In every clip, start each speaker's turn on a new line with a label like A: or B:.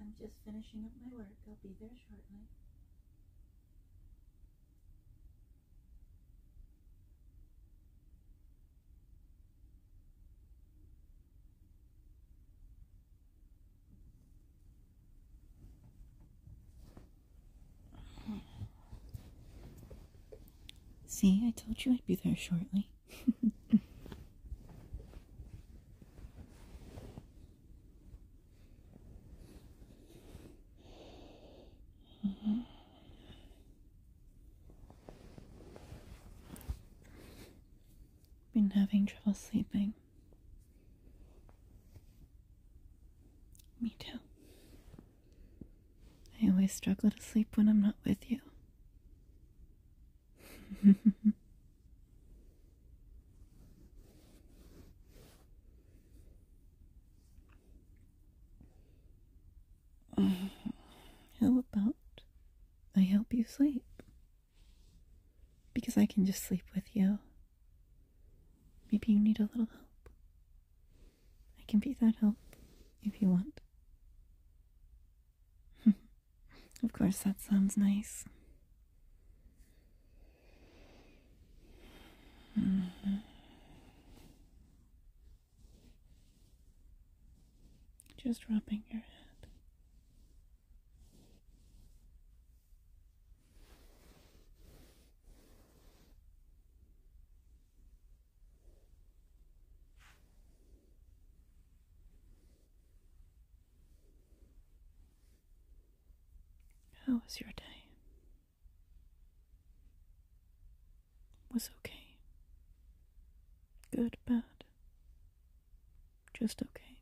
A: I'm just finishing up my work. I'll be there shortly. See, I told you I'd be there shortly. Been having trouble sleeping. Me too. I always struggle to sleep when I'm not with you. How about I help you sleep? Because I can just sleep with you Maybe you need a little help. I can be that help if you want. of course, that sounds nice. Mm-hmm. Just rubbing your head. How was your day? Was okay. Good, bad. Just okay.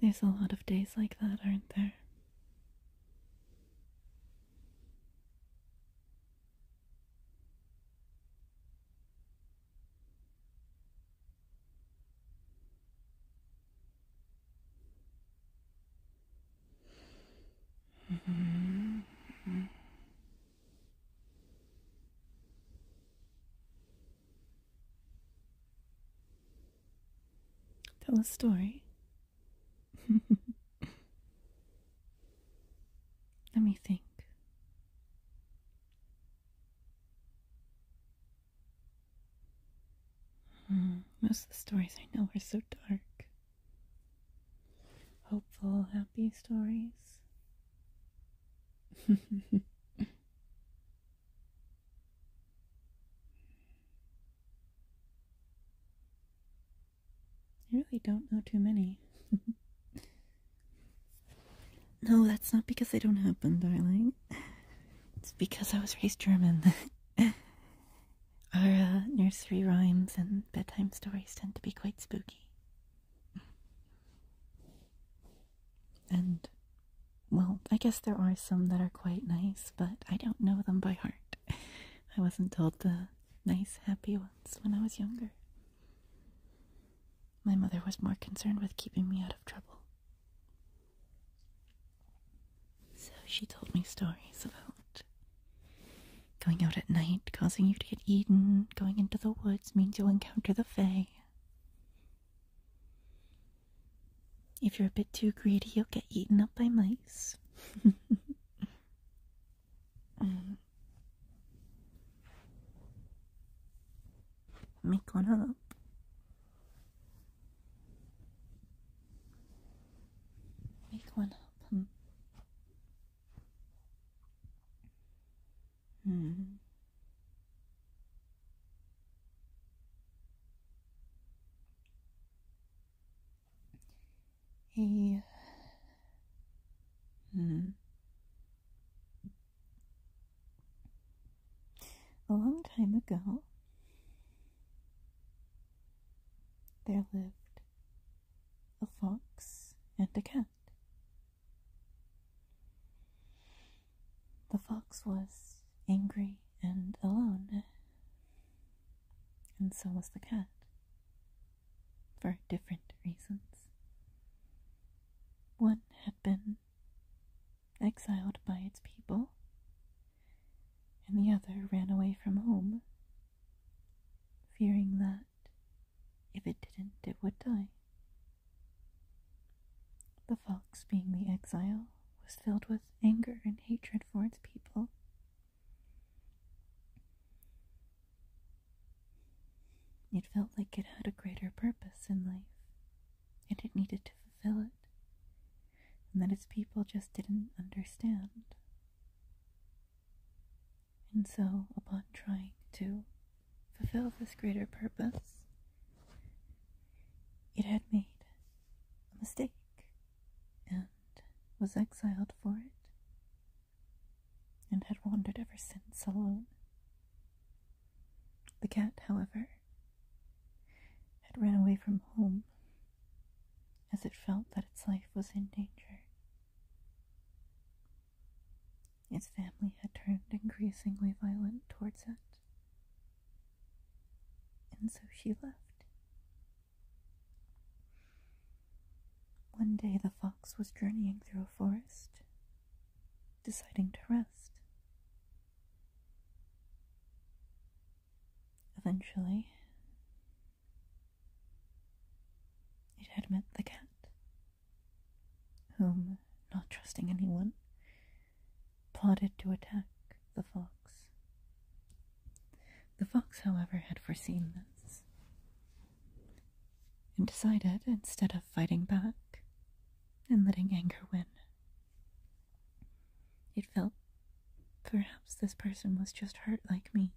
A: There's a lot of days like that, aren't there? Tell a story. Let me think. Hmm, most of the stories I know are so dark. Hopeful, happy stories. I really don't know too many. no, that's not because they don't happen, darling. It's because I was raised German. Our uh, nursery rhymes and bedtime stories tend to be quite spooky. And, well, I guess there are some that are quite nice, but I don't know them by heart. I wasn't told the nice, happy ones when I was younger. My mother was more concerned with keeping me out of trouble. So she told me stories about going out at night, causing you to get eaten, going into the woods means you'll encounter the Fae, if you're a bit too greedy, you'll get eaten up by mice. make one up. Make one up. Hmm. Mm. Mm-hmm. Yeah. Mm. A long time ago, there lived a fox and a cat. The fox was angry and alone, and so was the cat, for different reasons. One had been exiled by its people, and the other ran away from home, fearing that if it didn't, it would die. The fox, being the exile, was filled with anger and hatred for its people. It felt like it had a greater purpose in life, and it needed to fulfill it, and that its people just didn't understand. And so, upon trying to fulfill this greater purpose, it had made a mistake and was exiled for it and had wandered ever since alone. The cat, however, had ran away from home as it felt that its life was in danger. His family had turned increasingly violent towards it. And so she left. One day the fox was journeying through a forest, deciding to rest. Eventually, it had met the cat whom, not trusting anyone, plotted to attack the fox. The fox, however, had foreseen this, and decided, instead of fighting back and letting anger win, it felt perhaps this person was just hurt like me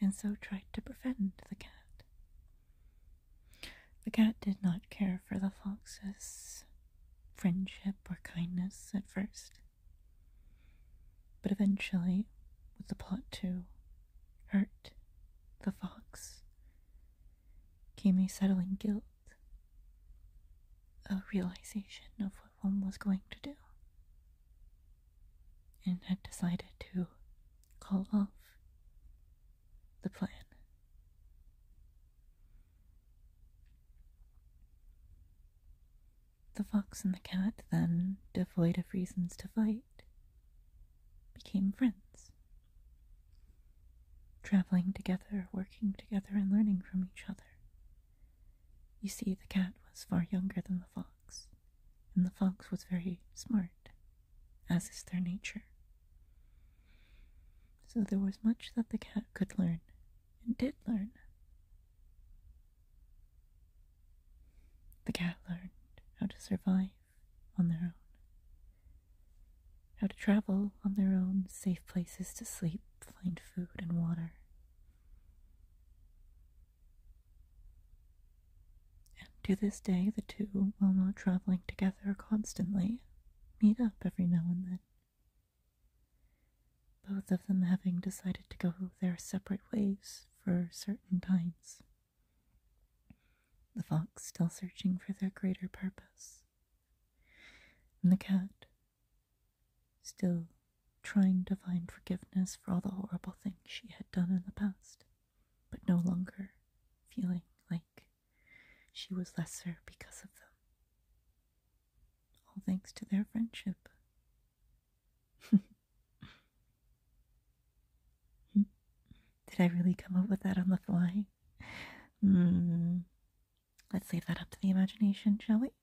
A: and so tried to befriend the cat. The cat did not care for the fox's friendship or kindness at first, but eventually, with the plot to hurt the fox, came a settling guilt, a realization of what one was going to do, and had decided to call off the plan. The fox and the cat, then, devoid of reasons to fight, became friends, traveling together, working together, and learning from each other. You see, the cat was far younger than the fox, and the fox was very smart, as is their nature. So there was much that the cat could learn, and did learn. The cat learned how to survive on their own, how to travel on their own, safe places to sleep, find food and water. And to this day, the two, while not traveling together constantly, meet up every now and then. Both of them having decided to go their separate ways for certain times. The fox still searching for their greater purpose, and the cat still trying to find forgiveness for all the horrible things she had done in the past but no longer feeling like she was lesser because of them. All thanks to their friendship. Did I really come up with that on the fly? Hmm. Let's leave that up to the imagination, shall we?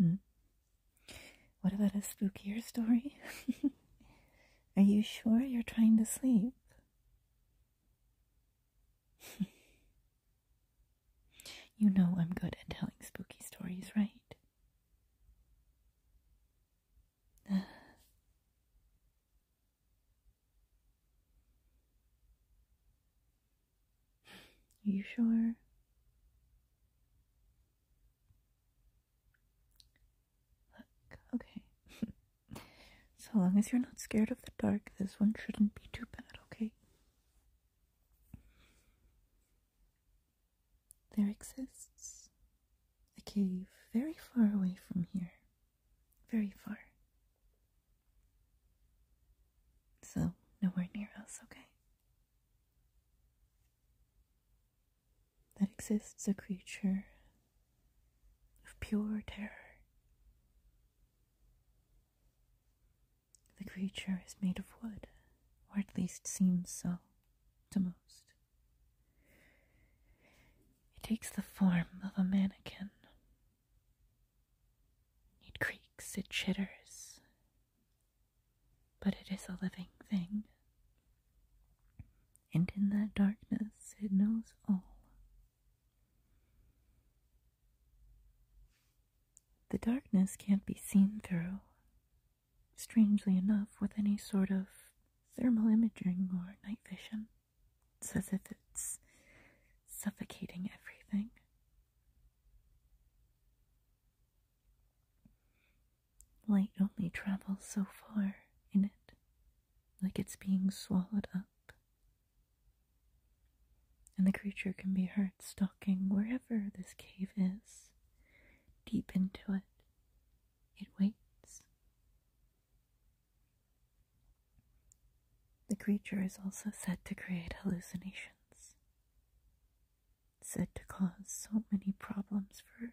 A: Hmm. What about a spookier story? Are you sure you're trying to sleep? you know I'm good at telling spooky stories, right? Are you sure? okay. so long as you're not scared of the dark, this one shouldn't be too bad, okay? There exists a cave very far away from here very far. So, nowhere near us, okay? That exists a creature of pure terror. The creature is made of wood, or at least seems so to most. It takes the form of a mannequin it creaks, it chitters, but it is a living thing. And in that darkness, it knows all. The darkness can't be seen through, strangely enough, with any sort of thermal imaging or night vision. It's as if it's suffocating everything. Light only travels so far in it, like it's being swallowed up. And the creature can be heard stalking wherever this cave is, deep into it. It waits, the creature is also said to create hallucinations, said to cause so many problems for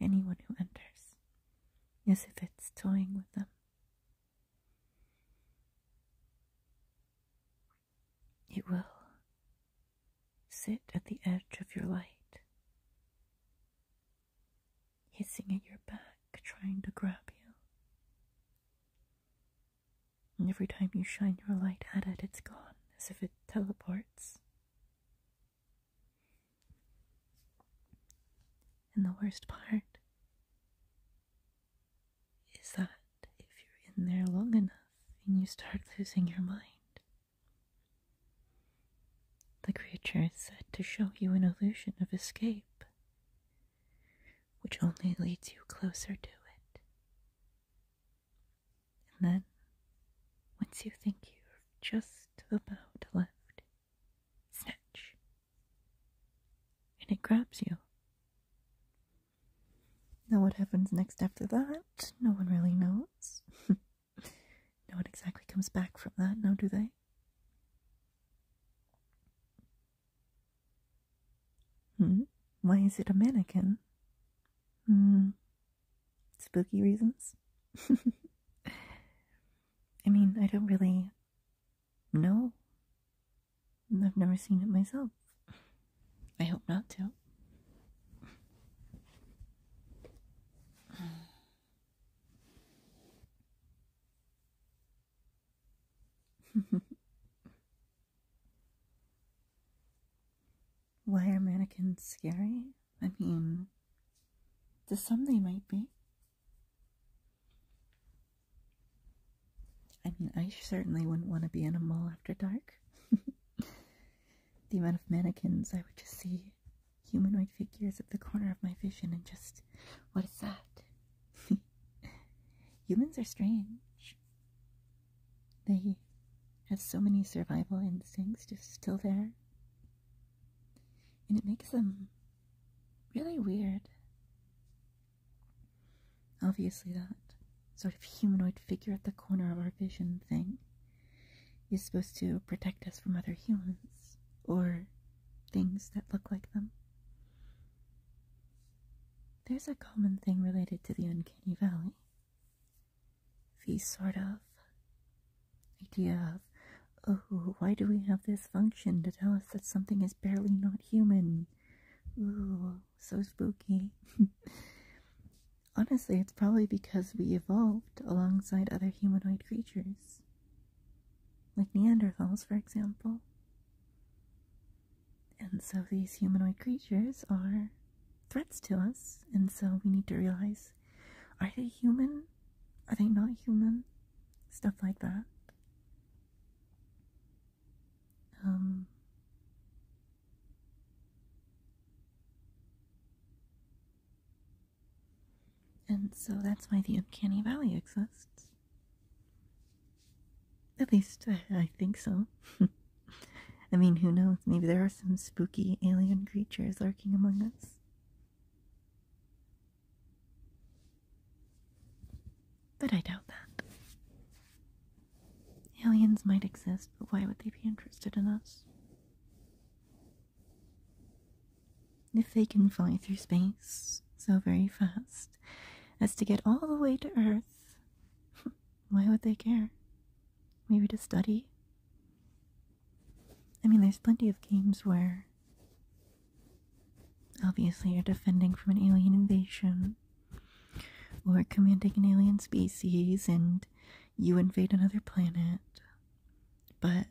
A: anyone who enters, as if it's toying with them. It will sit at the edge of your light hissing at your back, trying to grab you. And every time you shine your light at it, it's gone, as if it teleports. And the worst part is that if you're in there long enough and you start losing your mind, the creature is said to show you an illusion of escape which only leads you closer to it. And then, once you think you're just about left, snatch, and it grabs you. Now, what happens next after that? No one really knows. no one exactly comes back from that, now do they? Hmm? Why is it a mannequin? Hmm. Spooky reasons? I mean, I don't really know. I've never seen it myself. I hope not to. Why are mannequins scary? I mean, to some they might be. I mean, I certainly wouldn't want to be in a mall after dark. the amount of mannequins I would just see humanoid figures at the corner of my vision and just, what is that? Humans are strange. They have so many survival instincts just still there. And it makes them really weird. Obviously, that sort of humanoid figure at the corner of our vision thing is supposed to protect us from other humans, or things that look like them. There's a common thing related to the uncanny valley. The sort of idea of, oh, why do we have this function to tell us that something is barely not human? Ooh, so spooky. Honestly, it's probably because we evolved alongside other humanoid creatures like Neanderthals, for example. And so these humanoid creatures are threats to us, and so we need to realize are they human? Are they not human? Stuff like that. Um, and so that's why the uncanny valley exists. At least I think so. I mean, who knows? Maybe there are some spooky alien creatures lurking among us. But I doubt that. Aliens might exist, but why would they be interested in us? If they can fly through space so very fast as to get all the way to Earth, why would they care? Maybe to study? I mean, there's plenty of games where obviously you're defending from an alien invasion or commanding an alien species and you invade another planet, but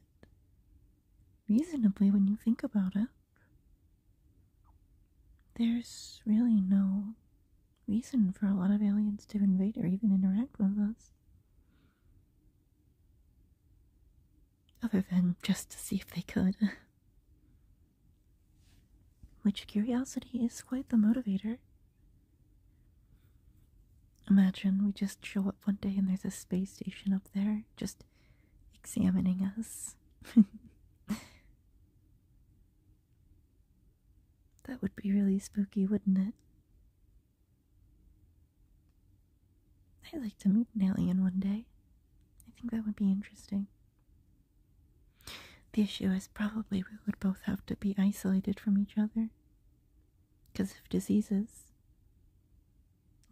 A: reasonably when you think about it. There's really no reason for a lot of aliens to invade or even interact with us. Other than just to see if they could. Which curiosity is quite the motivator. Imagine we just show up one day and there's a space station up there, just examining us. that would be really spooky, wouldn't it? I'd like to meet an alien one day. I think that would be interesting. The issue is probably we would both have to be isolated from each other because of diseases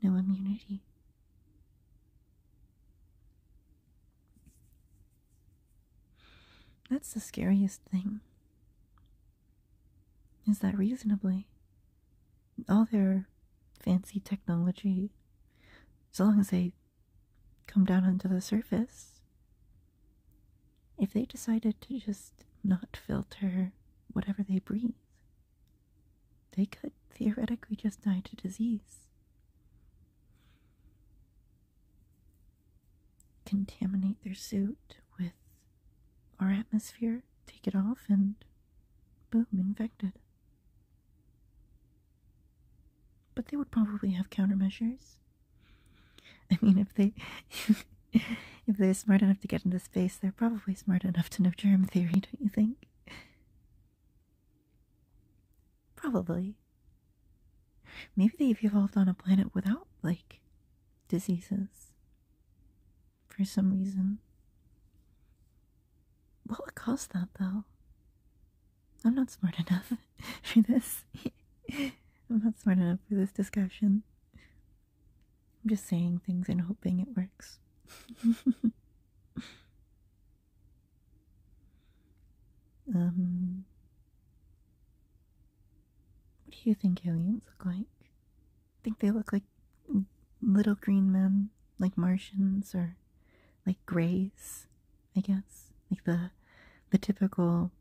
A: no immunity. That's the scariest thing. Is that reasonably? All their fancy technology, as long as they come down onto the surface, if they decided to just not filter whatever they breathe they could theoretically just die to disease. Contaminate their suit with our atmosphere, take it off, and boom, infected. But they would probably have countermeasures. I mean, if they if they're smart enough to get into the they're probably smart enough to know germ theory, don't you think? Probably. Maybe they've evolved on a planet without, like, diseases. For some reason. What caused that, though? I'm not smart enough for this. I'm not smart enough for this discussion. I'm just saying things and hoping it works. um, what do you think aliens look like? I think they look like little green men, like Martians or like grays, I guess, like the the typical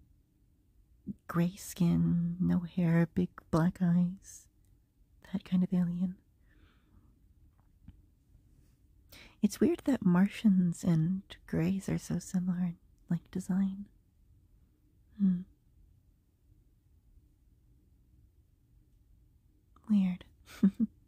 A: gray skin, no hair, big black eyes that kind of alien. It's weird that Martians and Greys are so similar in like design. Hmm. Weird.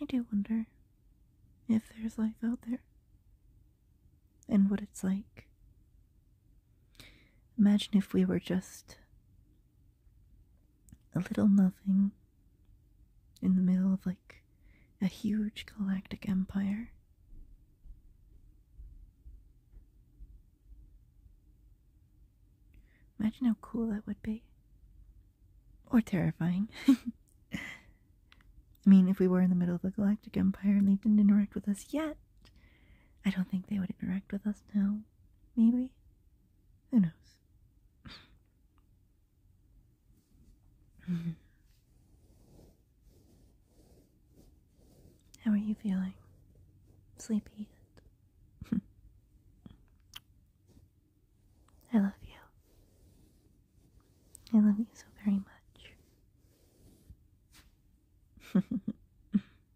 A: I do wonder if there's life out there and what it's like. Imagine if we were just a little nothing in the middle of like a huge galactic empire. Imagine how cool that would be. Or terrifying. I mean, if we were in the middle of the Galactic Empire and they didn't interact with us yet, I don't think they would interact with us now. Maybe? Who knows? Mm-hmm. How are you feeling? Sleepy I love you. I love you so very much.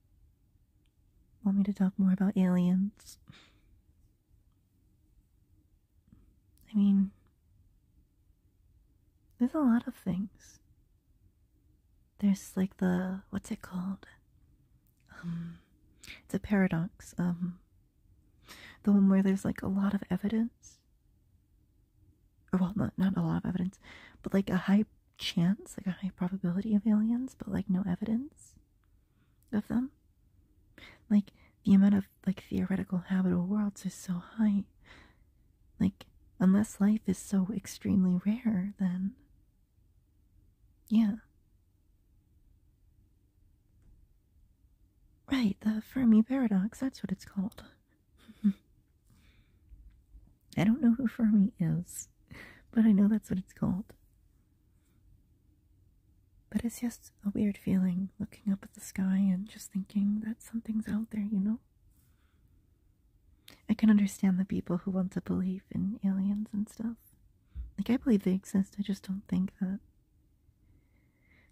A: Want me to talk more about aliens? I mean, there's a lot of things. There's like the, what's it called? it's a paradox. Um, the one where there's like a lot of evidence, or well, not a lot of evidence, but like a high chance, like a high probability of aliens, but like no evidence of them. Like the amount of like theoretical habitable worlds is so high. Like unless life is so extremely rare, then yeah. Right, the Fermi paradox, that's what it's called. I don't know who Fermi is, but I know that's what it's called. But it's just a weird feeling looking up at the sky and just thinking that something's out there, you know? I can understand the people who want to believe in aliens and stuff. Like, I believe they exist, I just don't think that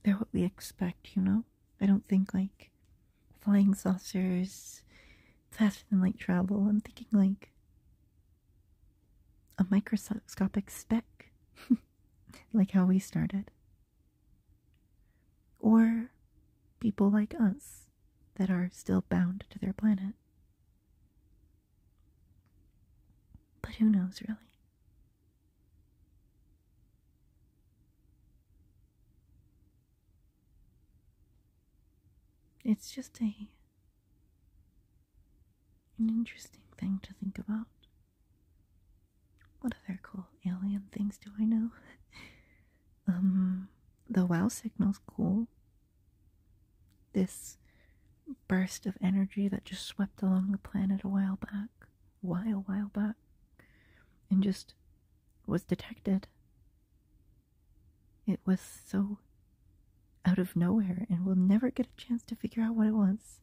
A: they're what we expect, you know? I don't think like flying saucers, faster than light travel. I'm thinking like a microscopic speck, like how we started. Or people like us that are still bound to their planet. But who knows, really? It's just a an interesting thing to think about. What other cool alien things do I know? um, the wow signal's cool. This burst of energy that just swept along the planet a while back, while, while back, and just was detected. It was so out of nowhere, and we'll never get a chance to figure out what it was.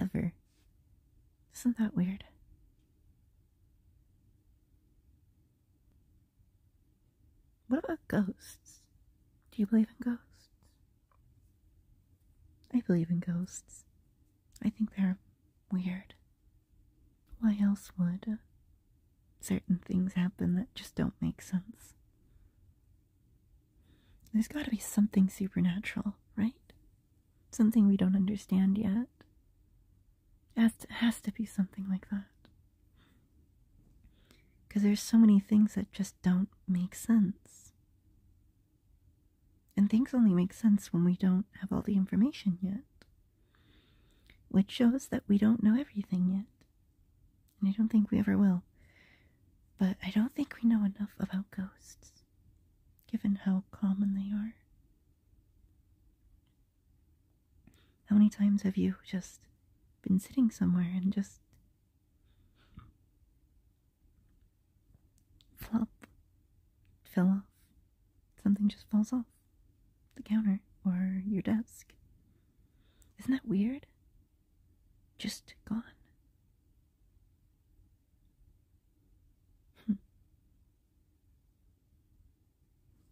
A: Ever. Isn't that weird? What about ghosts? Do you believe in ghosts? I believe in ghosts. I think they're weird. Why else would uh, certain things happen that just don't make sense? There's got to be something supernatural, right? Something we don't understand yet. has to be something like that. Because there's so many things that just don't make sense. And things only make sense when we don't have all the information yet, which shows that we don't know everything yet. And I don't think we ever will. But I don't think we know enough about ghosts, given how common they are. How many times have you just been sitting somewhere and just flop, fell off? Something just falls off the counter or your desk. Isn't that weird? Just gone. Hmm.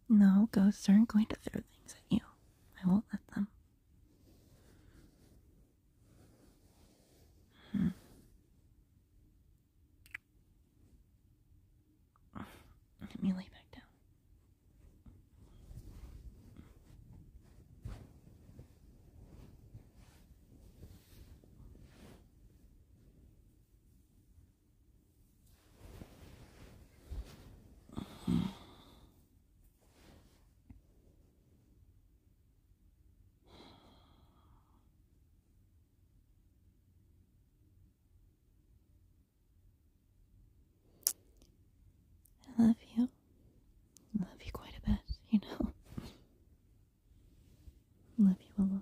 A: No, ghosts aren't going to throw things at you. I won't let them. Hmm. Let me lay back down. I love you. I love you quite a bit, you know. I love you a lot.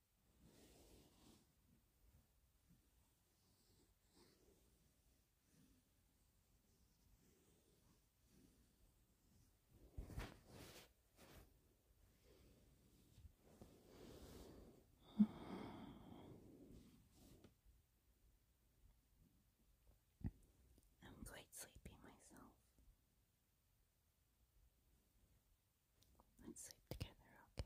A: I'm quite sleepy myself. Let's sleep together, okay?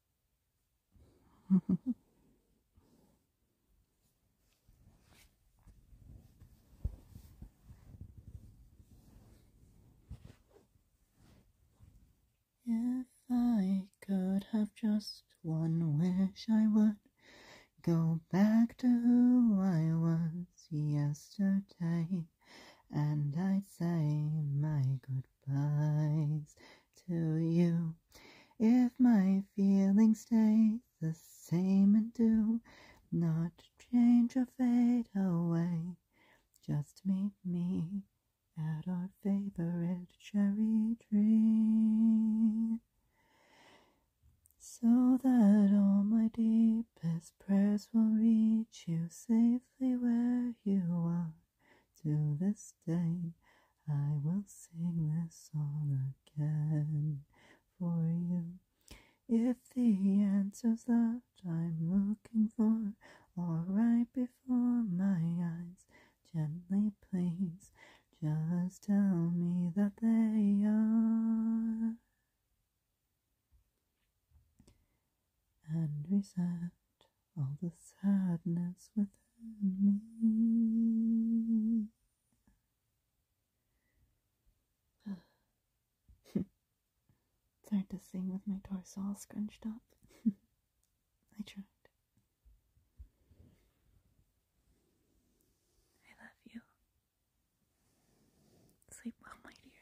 A: if I could have just one wish, I would go back to who I was yesterday, and I'd say my goodbyes to you. If my feelings stay the same and do not change or fade away, just meet me at our favorite cherry tree. So that all my deepest prayers will reach you safely where you are to this day. I will sing this song again for you. If the answer's that I'm looking for are right before my eyes, gently please just tell me that they are. And reset all the sadness within me. it's hard to sing with my torso all scrunched up. I tried. I love you. Sleep well, my dear.